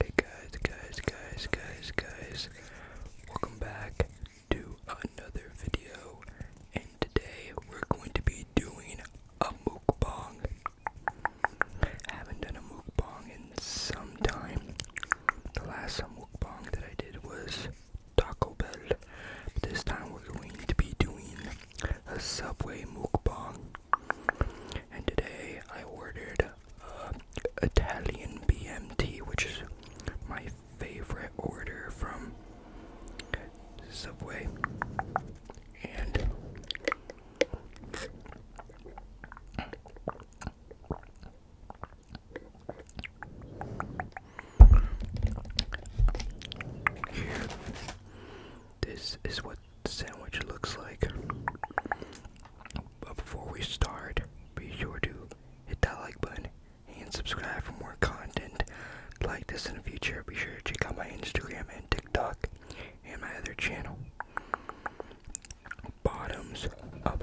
Hey guys, guys, guys, guys, guys. Welcome back to another video. And today we're going to be doing a mukbang. I haven't done a mukbang in some time. The last mukbang that I did was Taco Bell. But this time we're going to be doing a Subway mukbang. And today I ordered uh, Italian BMT, which is my favorite order from Subway. And this is what the sandwich looks like. But before we start, be sure to hit that like button and subscribe for more content like this in the future. Be sure to check out my Instagram and TikTok and my other channel. Bottoms up.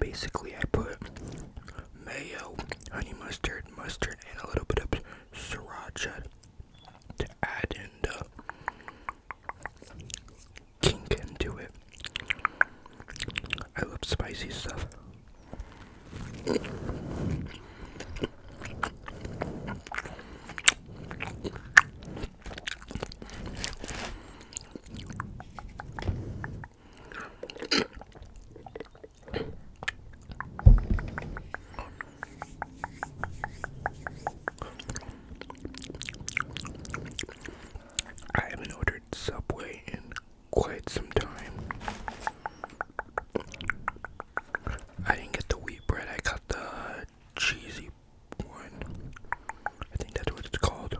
Basically, I put mayo, honey mustard, mustard, and a little bit of sriracha to add in king can do it. I love spicy stuff. I haven't ordered Subway in quite some time. I didn't get the wheat bread, I got the cheesy one. I think that's what it's called.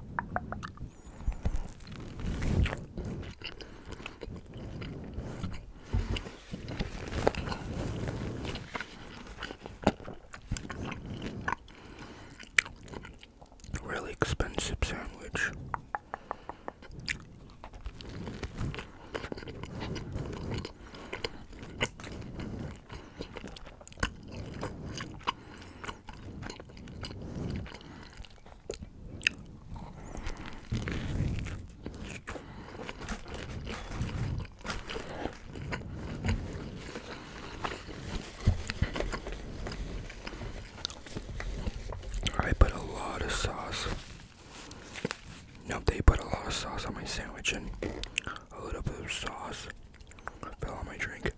Really expensive sandwich. I put a lot of sauce. Nope, they put a lot of sauce on my sandwich and a little bit of sauce fell on my drink.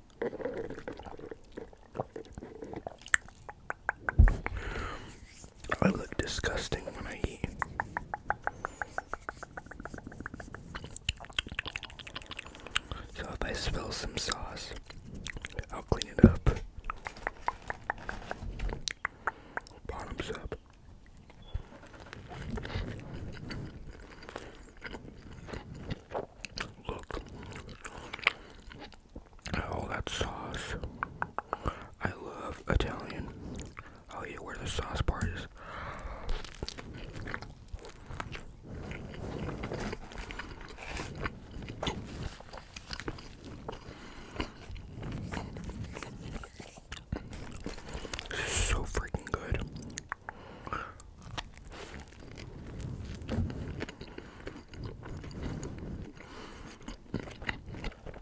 I look disgusting when I eat. So if I spill some sauce, I'll clean it up. Bottoms up. Look at all that sauce. I love Italian Oh yeah, where the sauce part is. This is so freaking good.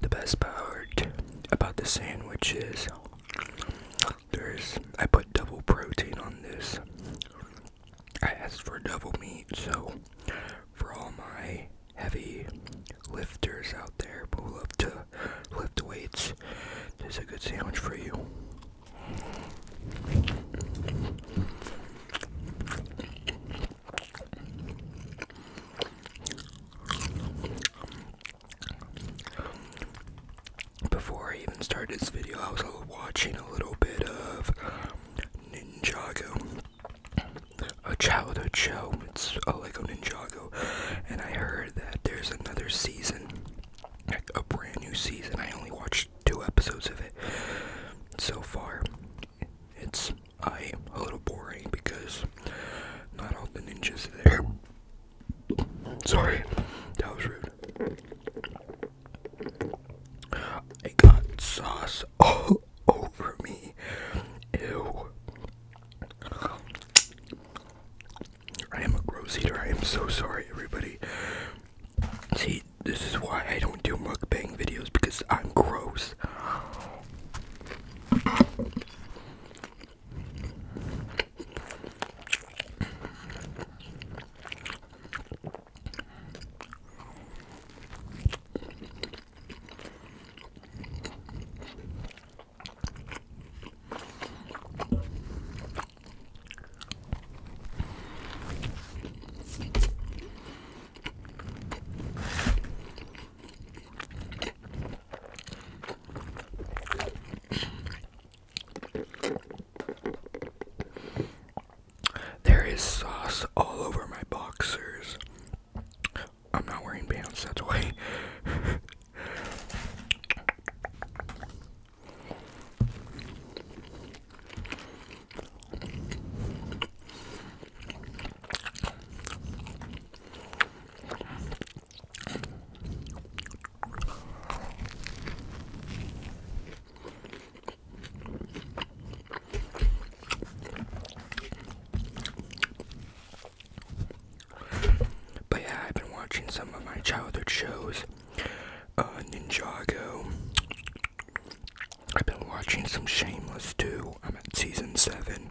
The best part about the sandwich is there's I put double protein on this. I asked for double meat, so for all my heavy lifters out there who love to lift weights, this is a good sandwich for you. Before I even started this video, I was watching a little bit of Ninjago a childhood show. It's a uh, Lego Ninjago, and I heard that there's another season, like a brand new season. I only watched two episodes of it so far. It's I a little boring because not all the ninjas are there. Sorry, that was rude. I got sauce. Oh, over me. Ew. I am a gross eater. I am so sorry, everybody. See, this is why I don't do mukbang videos because I'm gross. There is sauce all over my boxers. I'm not wearing pants, that's why. But yeah, I've been watching some of my childhood shows. Uh, Ninjago. I've been watching some Shameless too. I'm at season 7.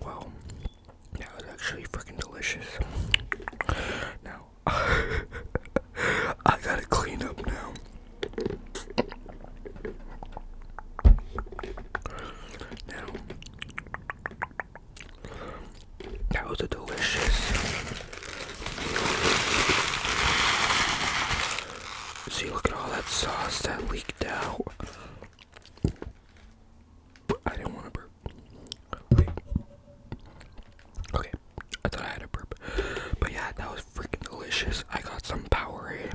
Well, that was actually freaking delicious. Now, I gotta clean up now. Now, that was delicious. See, look at all that sauce that leaked out. I didn't want to burp. Okay. I thought I had a burp. But yeah, that was freaking delicious. I got some Powerade.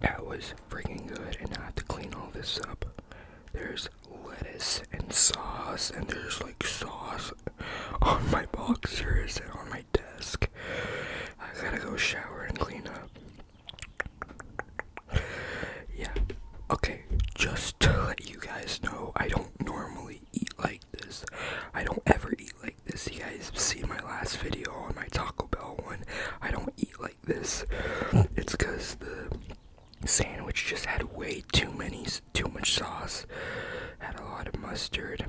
That was freaking good, and I have to clean all this up. There's lettuce and sauce, and there's like sauce on my boxers and on my desk. I gotta go shower and clean up. Yeah, okay, just to let you guys know, I don't normally eat like this. I don't ever eat like this. You guys see my last video on my Taco Bell one. I don't eat like this. It's because the sandwich just had way too many too much sauce had a lot of mustard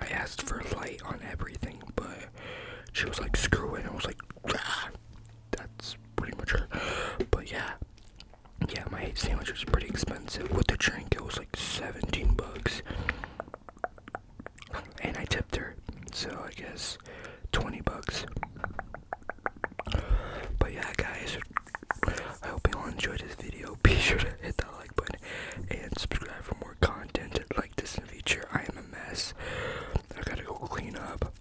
i asked for light on everything but she was like screw it i was like ah, that's pretty much her but yeah yeah my sandwich was pretty expensive with the drink it was like 17 bucks and i tipped her so i guess 20 bucks but yeah guys I hope you all enjoyed this video. Be sure to hit that like button and subscribe for more content like this in the future. I am a mess. I gotta go clean up.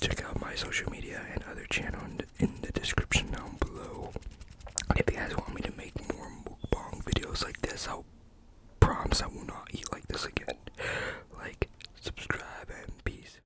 Check out my social media and other channel in the, description down below. If you guys want me to make more mukbang videos like this, I'll promise I will not eat like this again. Like, subscribe, and peace.